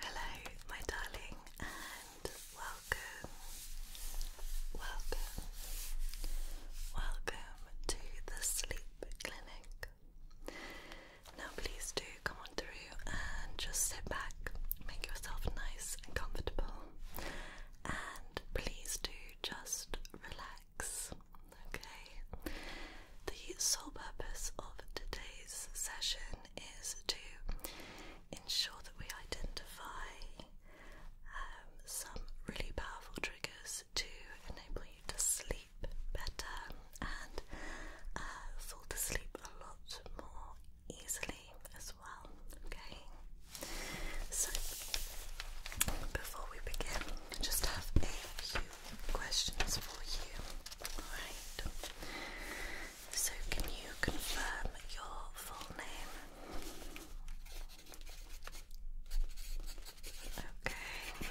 Hello, my darling, and welcome, welcome, welcome to the Sleep Clinic. Now, please do come on through and just sit back, make yourself nice and comfortable, and please do just relax. Okay, the sole purpose of today's session is to ensure that we identify um, some really powerful triggers to enable you to sleep better and uh, fall to sleep a lot more easily as well. Okay, so before we begin, just have a few questions for you. Alright, so, can you confirm your full name? Okay.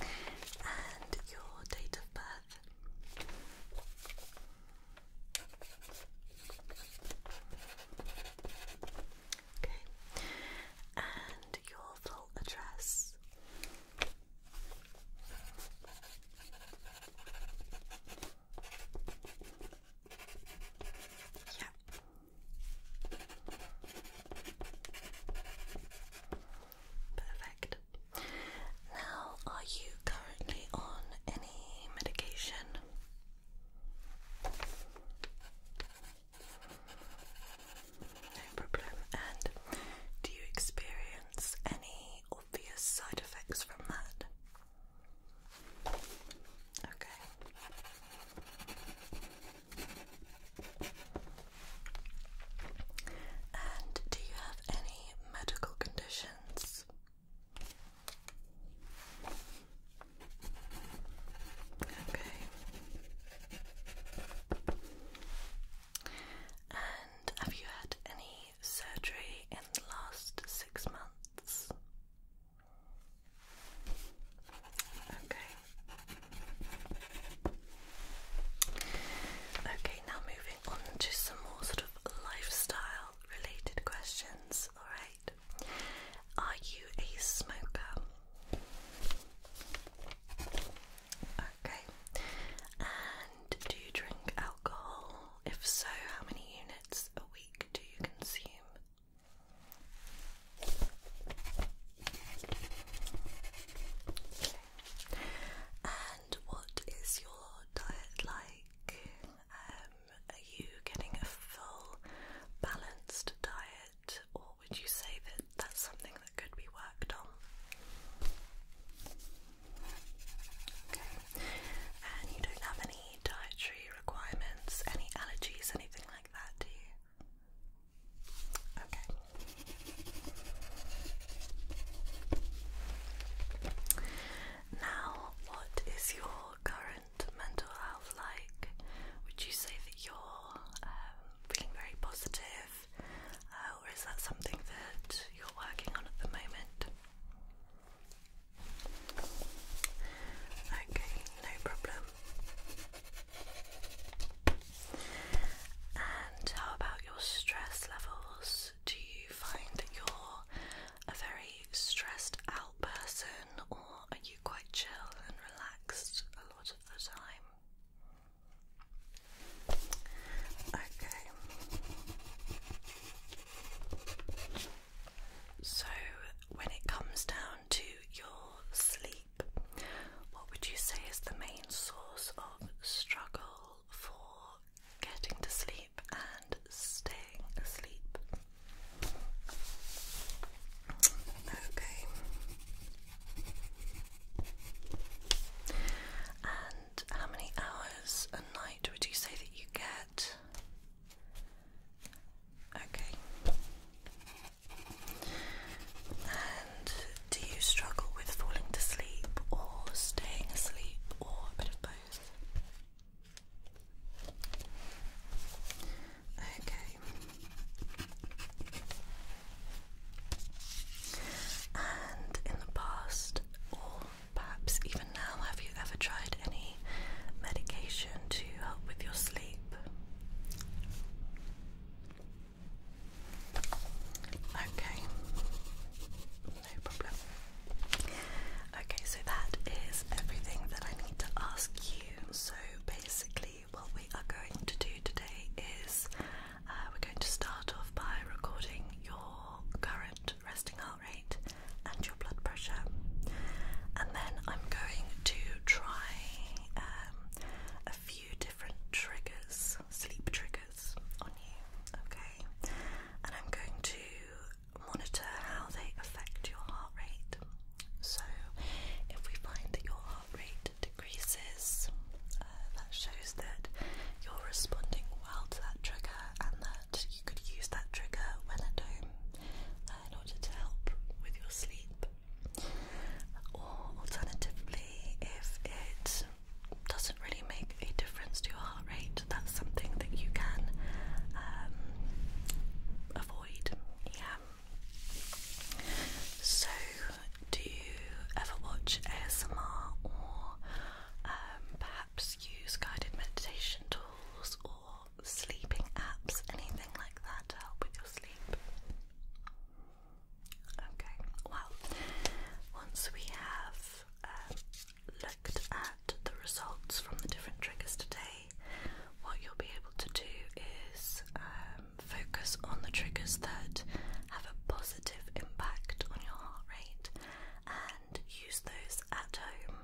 And your date of birth? Okay. And your full address? Yeah. Perfect. Now, are you currently on any medication? no problem. And do you experience any obvious side effects from that? Okay. And do you have any medical conditions? Okay. And have you had any surgery in the last six months? Okay. Okay, now moving on to some more sort of lifestyle related questions, alright? Are you a smoker? Okay. And do you drink alcohol? If so, how many units a week do you consume? And what is your diet like? Um, are you getting a full balanced diet or would you say that that's something that could be worked on? Okay, and you don't have any dietary requirements, any allergies, anything like that, do you? Okay. Now, what is your current mental health like? Would you say that you're um, feeling very positive uh, or is that something that you're working on at the moment? Okay, no problem. And how about your stress levels? Do you find that you're a very stressed out person, or are you quite chill and relaxed a lot of the time? Okay. So, when it comes down to your sleep, what would you say is the main source of struggle for getting to sleep and staying asleep? Okay. And how many hours a night would you say that you get? Okay. And do you struggle with falling to sleep or staying asleep or a bit of both? Okay. And in the past, or perhaps even now, have you ever tried any medication to help with your sleep? Okay, no problem. Okay, so that is everything that I need to ask you. So basically, what we are going to do today is uh, we're going to start off by recording your current resting heart rate and your blood pressure, and then I'm going to try um, a few different triggers, sleep triggers on you, okay? And I'm going to monitor how they affect your heart rate. So, if we find that your heart rate decreases, uh, that shows that you're responding well to that trigger and that you could use that trigger when at home uh, in order to help with your sleep. Or alternatively, if it doesn't really make a difference to your heart rate, that's something that you can um, avoid. Yeah. So do you ever watch ASMR or um, perhaps use guided meditation tools or sleeping apps, anything like that to help with your sleep? Okay, well, once we have um, looked at the results from the different triggers today, what you'll be able to do is um, focus on the triggers that have a positive impact on your heart rate and use those at home,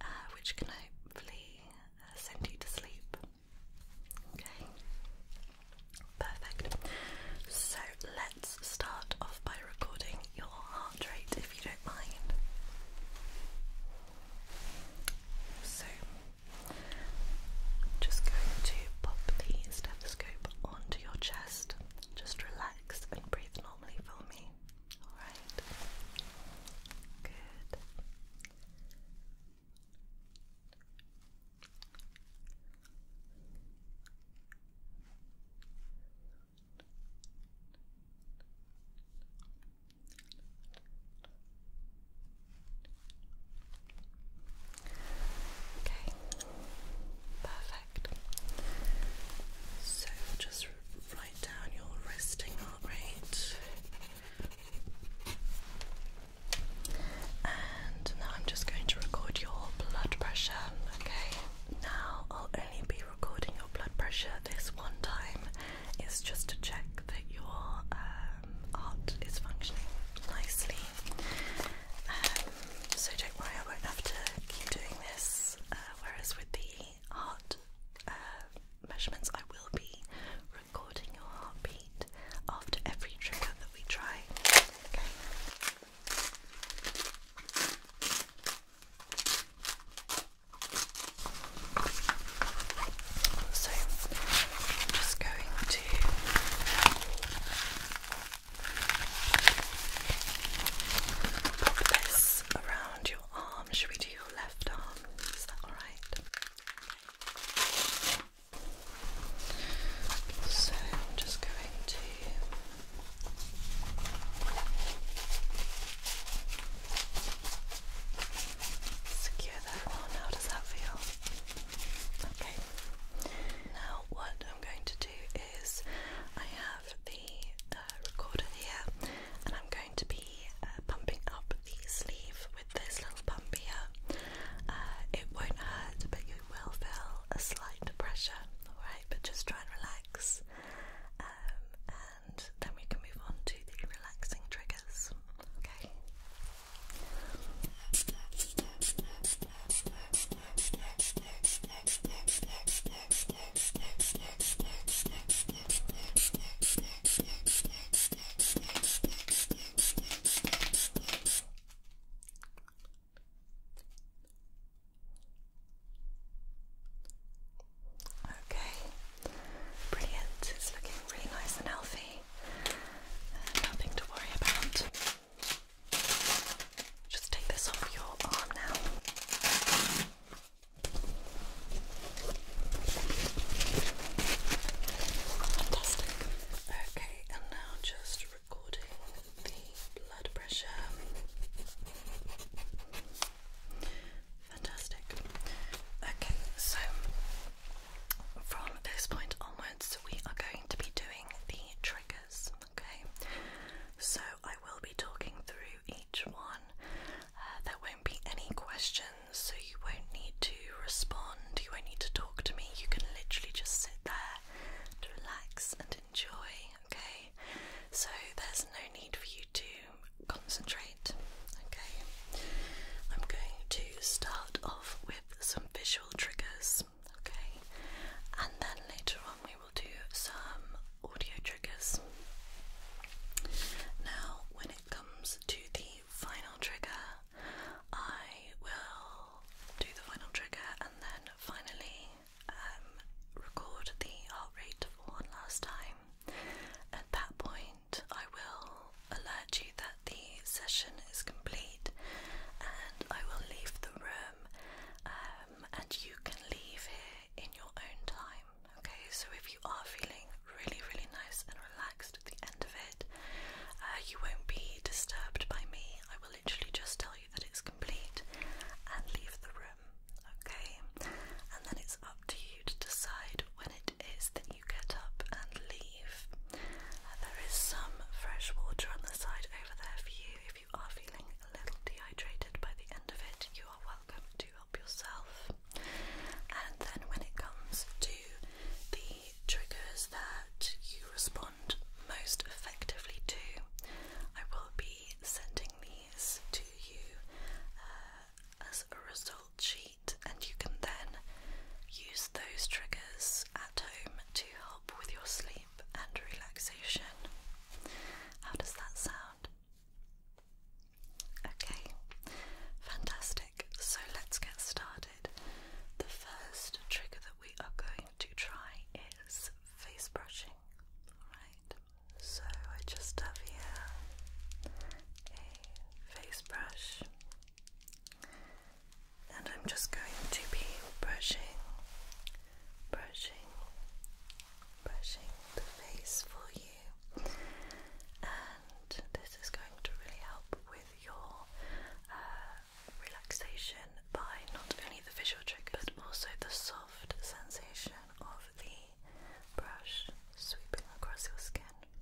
uh, which can hopefully uh, send you to sleep. Okay, perfect. So let's start off by recording your heart rate if you don't mind. So just going to pop the stethoscope onto your chest. Just relax and breathe normally for me. Alright. Good. Okay, perfect. So just write down your resting heart rate. And now I'm just going to record your blood pressure, okay? Now I'll only be recording your blood pressure this one time. It's just to check that your um, heart is functioning nicely um, so don't worry, I won't have to keep doing this. Uh, whereas with the heart uh, measurements, I will be recording your heartbeat after every trigger that we try. Okay. So I'm just going to pop this around your arm. Should we do your left arm? Is that alright? So I'm just going to secure that one. How does that feel? Okay. Now, what I'm going to do is I have the uh, recorder here, and I'm going to be uh, pumping up the sleeve with this little pump here. Uh, it won't hurt, but you will feel a slight pressure, alright? But just try and relax, um, and then we can move on to the relaxing triggers, okay? Okay, brilliant. It's looking really nice and healthy nothing to worry about. Just take this off your arm now. Fantastic. Okay, and now just recording the blood pressure. Fantastic. Okay, so from this point onwards, we are going to be doing the triggers, okay? So I will be talking through each one. Uh, there won't be any questions, so you won't need to respond, you won't need to talk to me. You can literally just sit there to relax and enjoy, okay? So there's no need for you to concentrate, okay? I'm going to start off with some visual triggers, okay? And then later on, we will do some audio triggers. Now, when it comes to the final trigger, I will do the final trigger and then finally um, record the heart rate for one last time. At that point, I will alert you that the session is complete and I will leave the room um, and you can leave here in your own time. Okay, so if you are feeling really, really nice and relaxed at the end of it, uh, you won't be disturbed by me. I will literally just tell you that it's complete and leave the room. Okay, and then it's up to you to decide when it is that you get up and leave. Uh, there is some fresh water on the side over there for you. If you are feeling a little dehydrated by the end of it, you are welcome to help yourself. And then when it comes to the triggers that you respond most effectively to, I will be sending these to you uh, as a result sheet and you can then use those triggers at home to help with your sleep and relaxation. How does that sound? Okay, fantastic. So let's get started. The first trigger that we are going to try is face brushing. Alright, so I just have here a face brush and I'm just going to be brushing, brushing, brushing the face for you, and this is going to really help with your uh, relaxation by not only the visual triggers but also the soft sensation of the brush sweeping across your skin.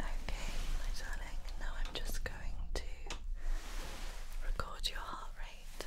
Okay, my darling, now I'm just going to record your heart rate.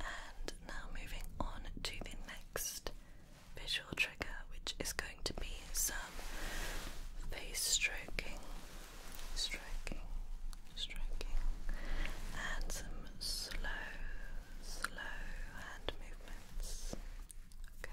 And now moving on to the next visual trigger, which is going to be some face stroking, stroking, stroking, and some slow, slow hand movements. Okay.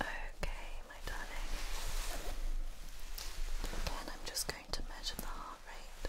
Okay, my darling. Again, I'm just going to measure the heart rate.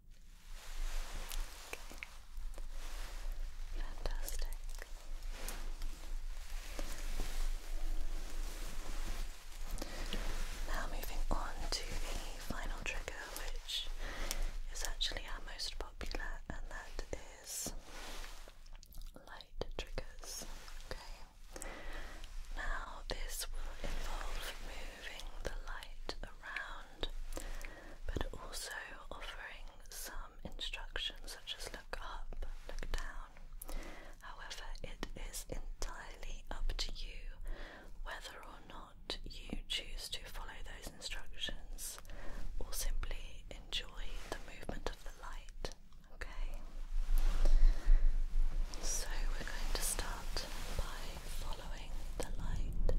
Fantastic. Now, moving on to the final trigger, which is actually our most popular, and that is light triggers. Okay, now this will involve moving the light around but also offering some instructions such as look up, look down. However, it is entirely up to you whether or not you choose to follow those instructions or simply enjoy the movement of the light. Okay? So we're going to start by following the light.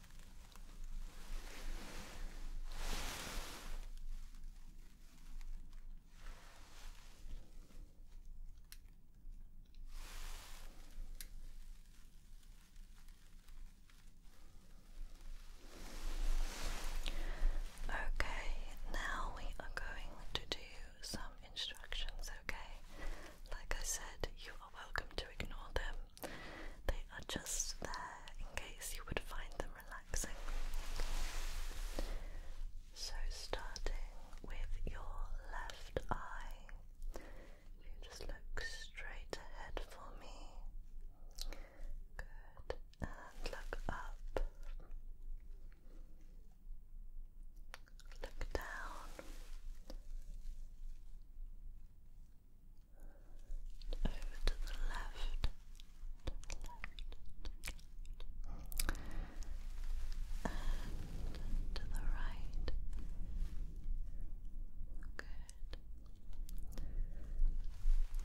Okay, now we are going to do some instructions, okay? Like I said, you are welcome to ignore them. They are just there in case you would find them relaxing. So, starting with your left eye, you just look straight ahead for me. Good. And look up. Look down. Over to the left. To the right. Good.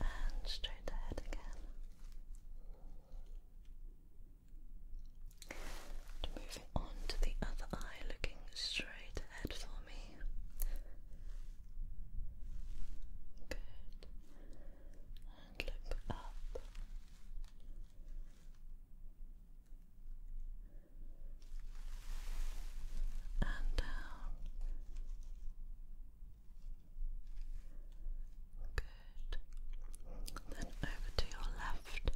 And straight ahead again moving on to the other eye, looking straight ahead for me. Good. And look up. And down. Good. Then over to your left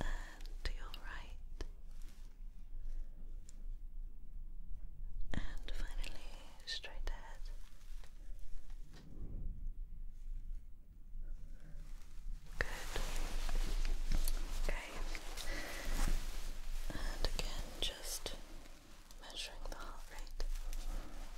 and to your right, and finally straight ahead. Good. Okay. And again, just measuring the heart rate.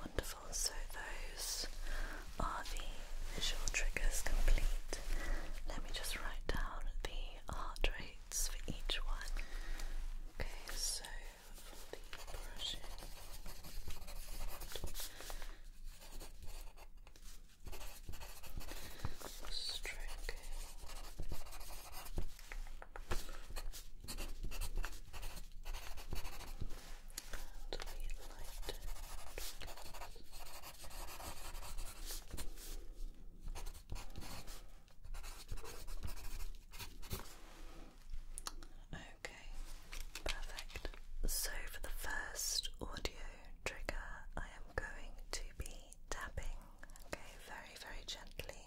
Wonderful. So those are the visual triggers complete. Let me just write down the heart rates for each one. Okay, so for the brushing. Stroking. Okay, perfect. So, for the first audio trigger, I am going to be tapping, okay, very, very gently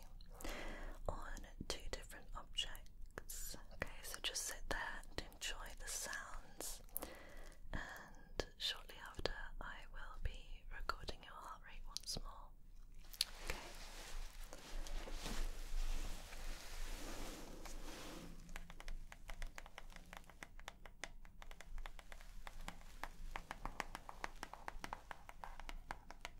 on two different objects. Okay, so just sit there and enjoy the sounds. And shortly after, I will be recording your heart rate once more. Okay.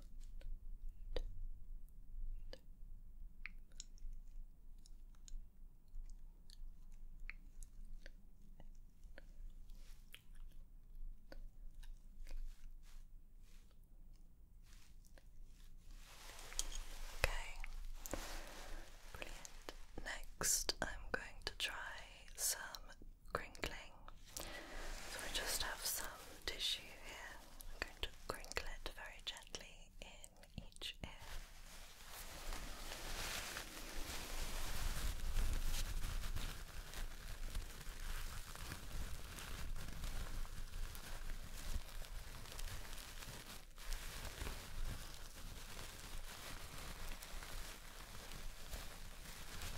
Okay, brilliant. Next, I'm going to try some crinkling so I just have some tissue here. I'm going to crinkle it very gently in each ear.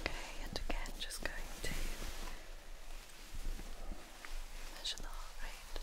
Okay, and again, just going to measure the heart rate.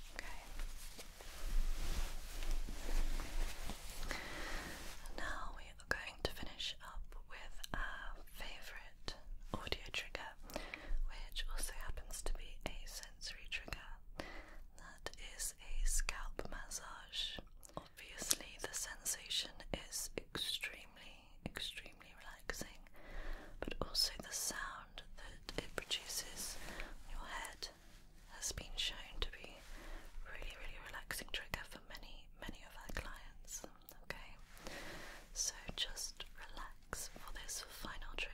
Okay. Now we are going to finish up with our favorite audio trigger, which also happens to be a sensory trigger. That is a scalp massage. Obviously, the sensation is extremely, extremely relaxing but also the sound that it produces on your head has been shown to be really, really relaxing trigger for many, many of our clients. Okay, so just relax for this final trigger.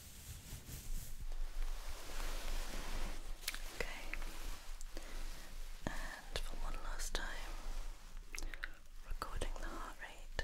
Okay, and for one last time, recording the heart rate.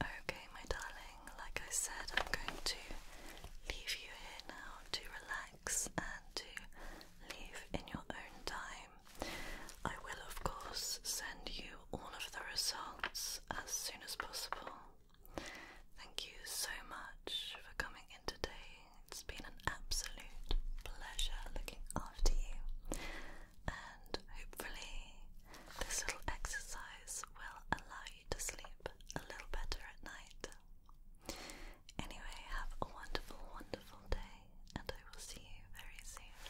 Okay, my darling, like I said, I'm going to leave you here now to relax and to leave in your own time. I will, of course, send you all of the results as soon as possible. Thank you so much for coming in today it's been an absolute pleasure looking after you, and hopefully, this little exercise will allow you to sleep a little better at night. Anyway, have a wonderful, wonderful day, and I will see you very soon.